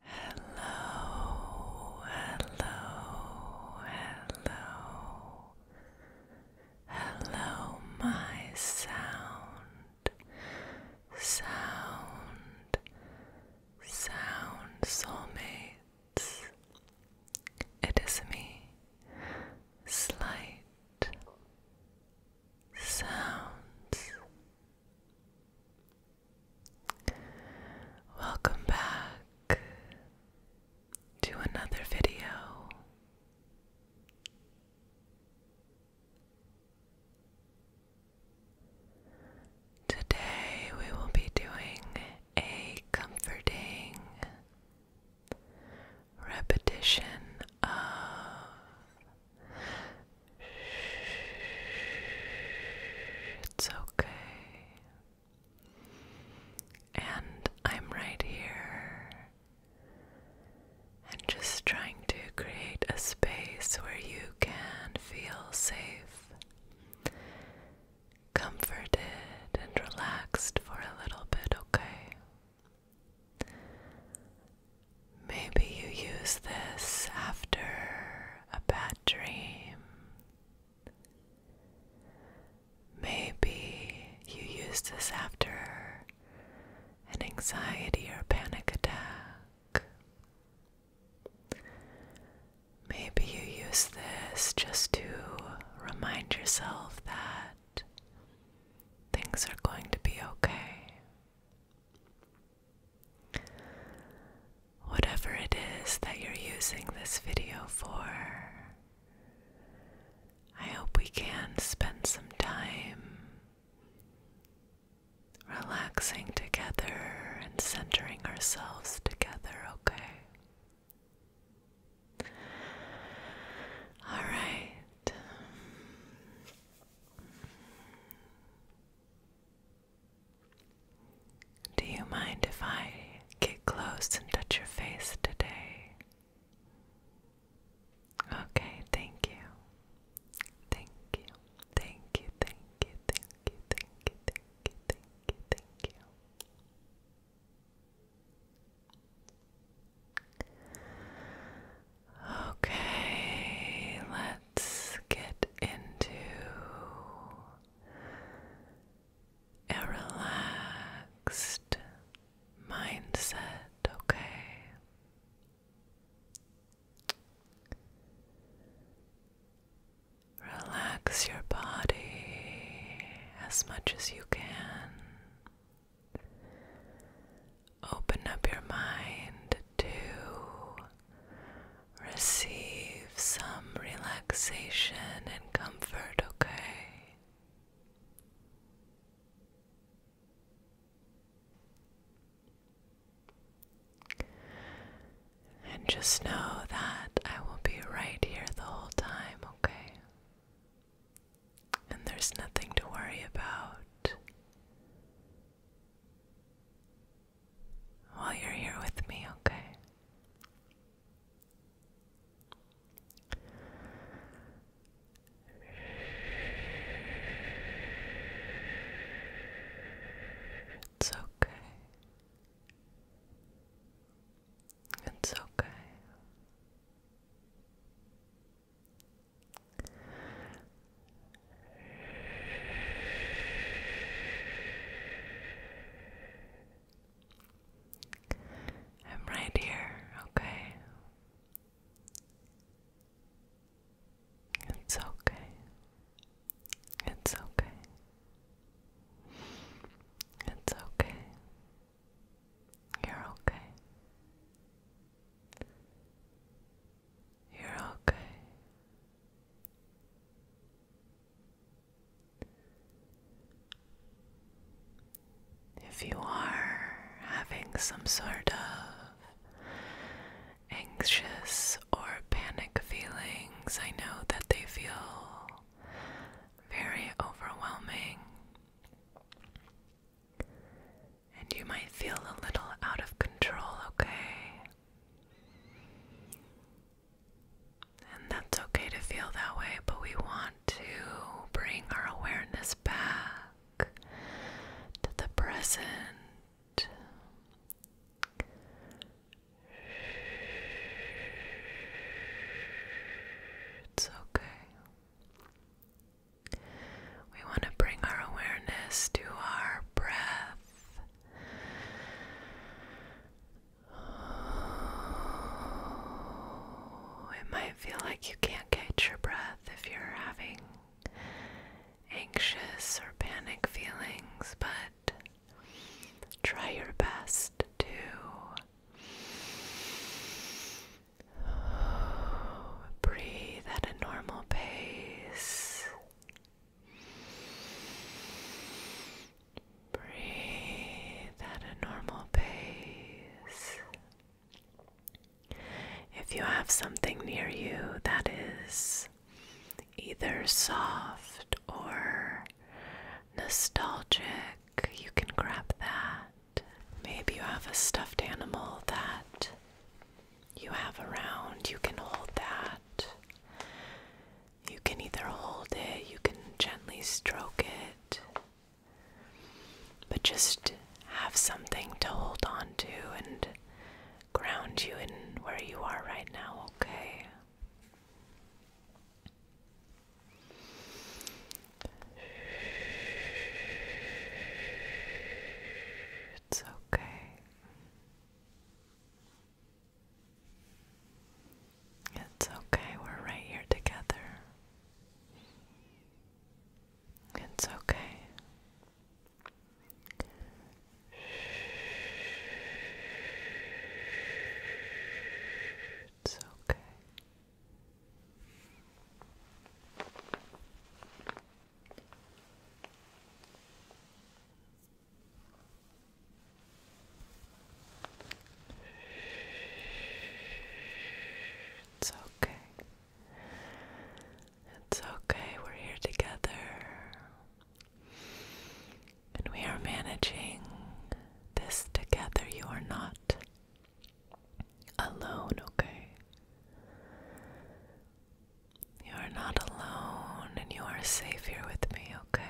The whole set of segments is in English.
Hello, hello, hello, hello, my sound, sound, sound soulmates. It is me, slight sounds. Welcome back to another video. Today we will be doing a comforting repetition of it's okay. And I'm right here. And just trying to create a space where you can feel safe, comforted, and relaxed for a little bit, okay? Maybe you use this after a bad dream. Maybe you use this after an anxiety or panic attack. Maybe you use this just to remind yourself that things are going to be okay. Whatever it is that you're using this video for, I hope we can spend some time relaxing together and centering ourselves together, okay? All right. Do you mind if I get close and touch your face today? Okay, thank you. Thank you. Thank you, thank you, thank you, thank you, thank you, thank you, thank you let's get into a relaxed mindset, okay? Relax your body as much as you can. Open up your mind too receive some relaxation and comfort, okay? And just know that I will be right here the whole time, okay? And there's nothing to worry about while you're here with me, okay? It's okay. It's okay. I'm right here, okay? It's okay. It's okay. It's okay. You're okay. You're okay. If you are having some sort of anxious or panic feelings, I know that they feel very overwhelming. And you might feel a little out of control, okay? And that's okay to feel that way, but we want to bring our awareness back to the present. It's okay. We want to bring our awareness to our breath it might feel like you can't catch your breath if you're having anxious or panic feelings, but try your best to breathe at a normal pace Breathe at a normal pace. If you have something near you that is either soft or nostalgic, you can grab that. Maybe you have a stuffed animal that you have around, you can hold that. You can either hold it, you can gently stroke it, but just have something to hold on to and ground you in where you are right now, okay? It's okay. It's okay, we're right here together. It's okay. It's okay. It's okay. It's okay. We're here together. And we are managing this together. You are not alone, okay? You are not alone and you are safe here with me, okay?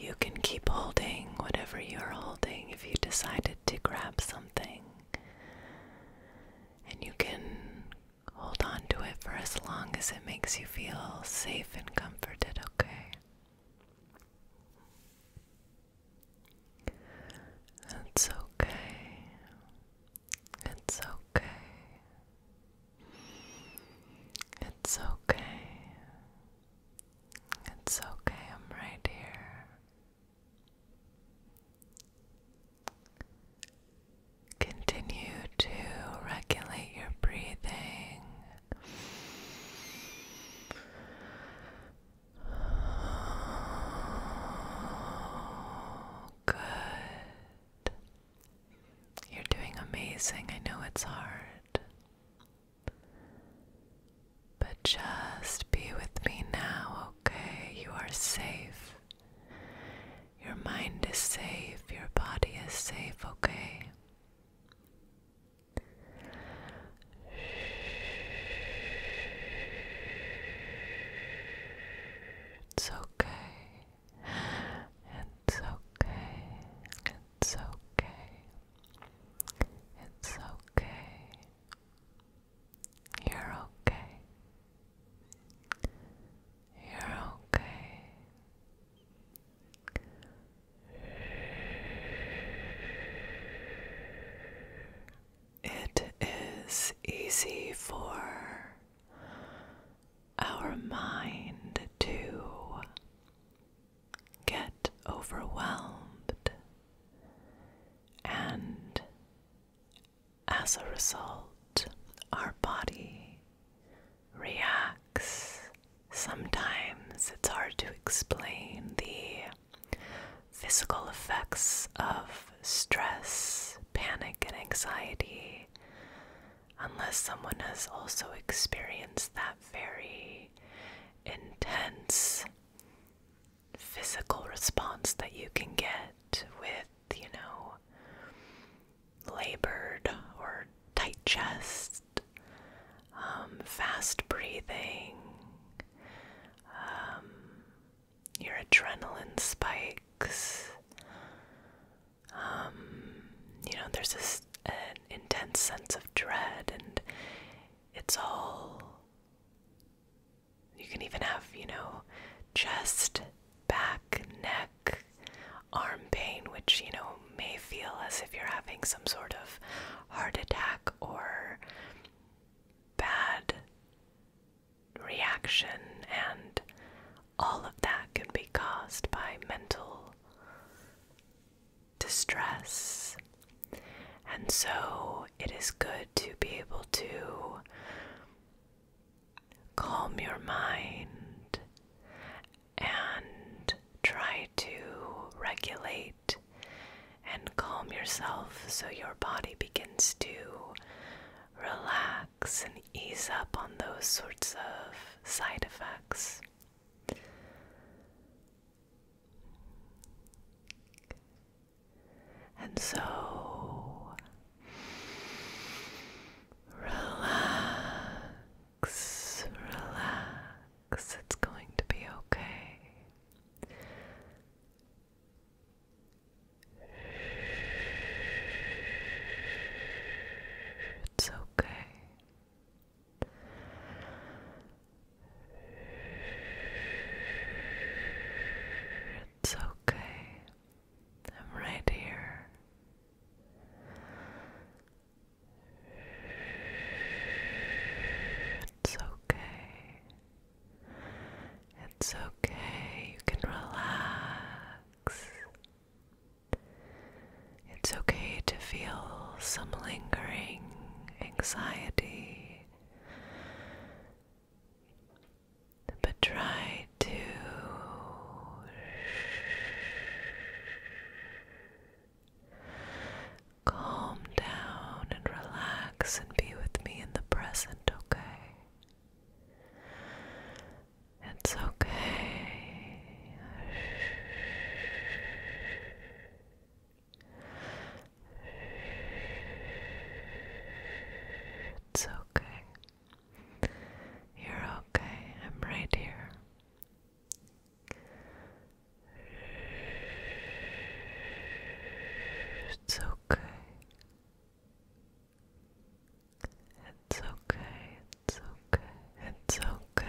You can keep holding whatever you're holding if you decided to grab something. And you can hold on to it for as long as it makes you feel safe and comforted, okay? It's okay. It's okay. It's okay. It's okay, I'm right here. Continue to regulate your breathing. Good. You're doing amazing. I know it's hard. But just be with me now, okay? You are safe. Your mind is safe. Your body is safe, okay? It's okay. It's okay. It's okay. It's okay. You're okay. You're okay. It is easy for our mind to get overwhelmed, and as a result, our body reacts. Sometimes it's hard to explain the physical effects of stress, panic, and anxiety unless someone has also experienced that very intense physical response that you can get with, you know, labored or tight chest, um, fast breathing, um, your adrenaline spikes. Um, you know, there's this intense sense of dread and it's all. You can even have, you know, chest, back, neck, arm pain, which, you know, may feel as if you're having some sort of heart attack or bad reaction, and all of that can be caused by mental distress. And so it is good to be able to calm your mind and try to regulate and calm yourself so your body begins to relax and ease up on those sorts of side effects. And so relax, relax, it's going to be okay. It's okay. It's okay. I'm right here. It's okay. It's okay. You can relax. It's okay to feel some lingering anxiety. But try to calm down and relax and be with me in the present, okay? It's okay. It's okay. You're okay. I'm right here. It's okay. It's okay. It's okay. It's okay.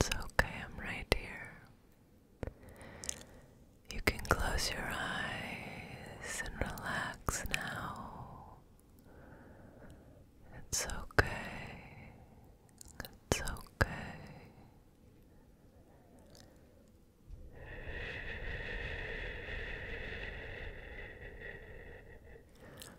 It's okay, I'm right here. You can close your eyes and relax now. It's okay. It's okay.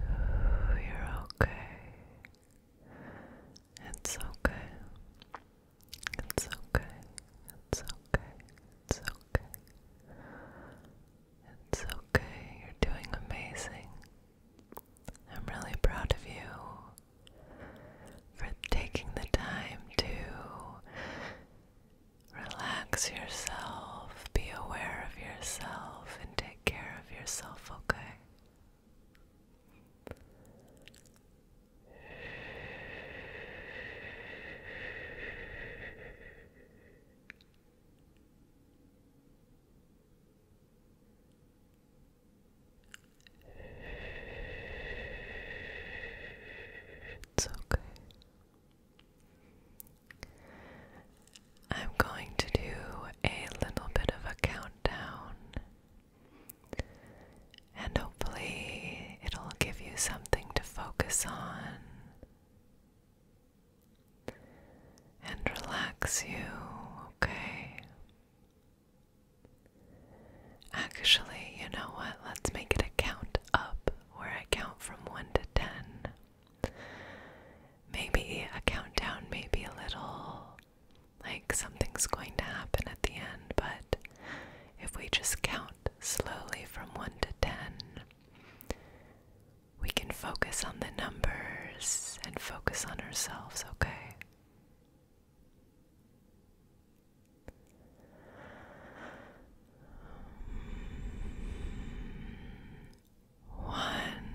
You're okay. It's okay. It's okay. It's okay. It's okay. It's okay. You're doing amazing. I'm really proud of you for taking the time to relax yourself, be aware of yourself, and take take care of yourself, okay? It's okay. I'm going to do a little bit of a countdown, and hopefully, it'll give you something to focus on and relax you, okay? Actually, you know what? Let's make it a count up where I count from 1 to 10. Maybe a countdown, maybe a little like something's going to happen at the end, but if we just count slowly from 1 to 10, we can focus on the numbers and focus on ourselves, okay? One,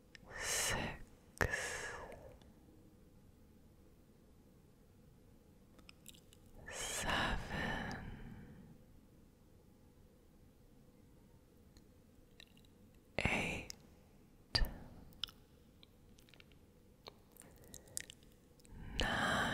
six, seven, eight, nine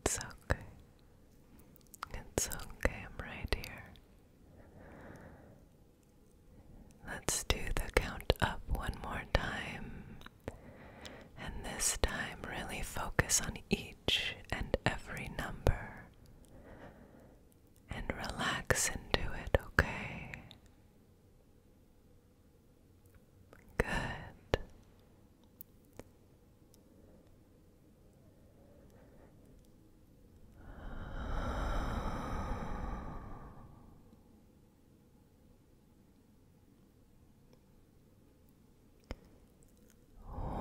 It's okay. It's okay, I'm right here. Let's do the count up one more time. And this time, really focus on each and every number. And relax into it, okay? Good.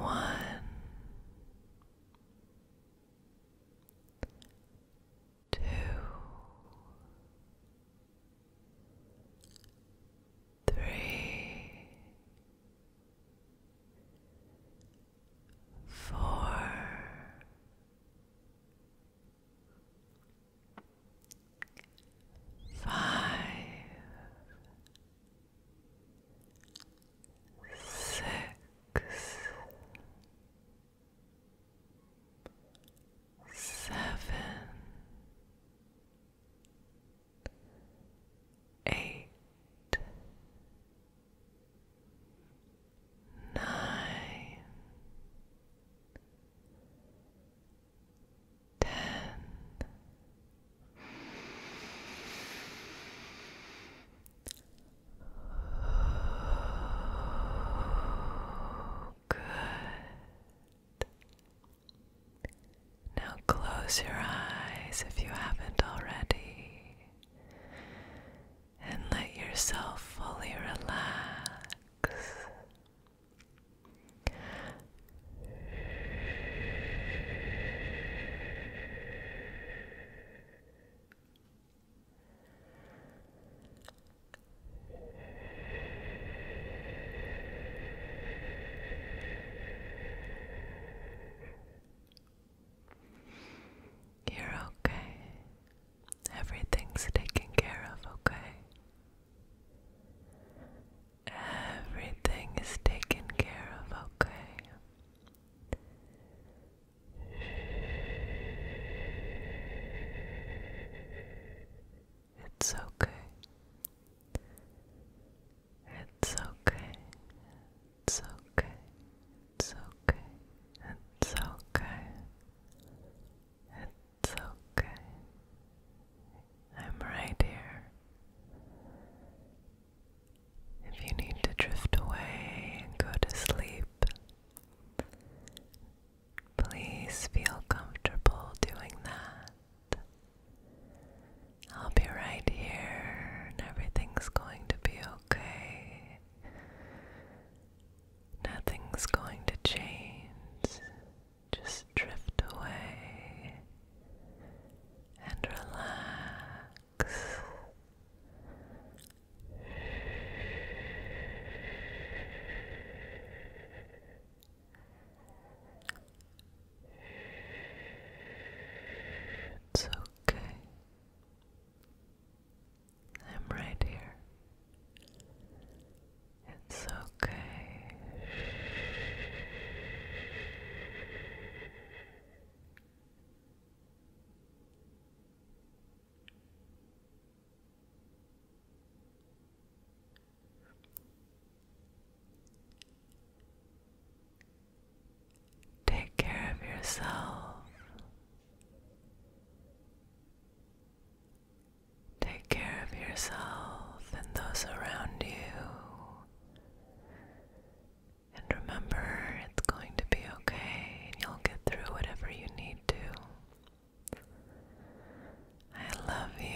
One. Two, three, four, five, six, seven eight, nine, ten. Good. Now close your eyes if you haven't already and let yourself fully relax. You're okay. Everything's taken care of, okay? Everything is taken care of, okay? It's okay. It's okay. It's okay. It's okay. It's okay. I'm right here. If you need to drift away and go to sleep, please feel comfortable doing that. I'll be right here and everything's going to be okay. Nothing's going to change. Just drift away and relax. It's okay. I'm right here. It's okay. Take care of yourself. Take care of yourself and those around you. And remember, it's going to be okay, and you'll get through whatever you need to. I love you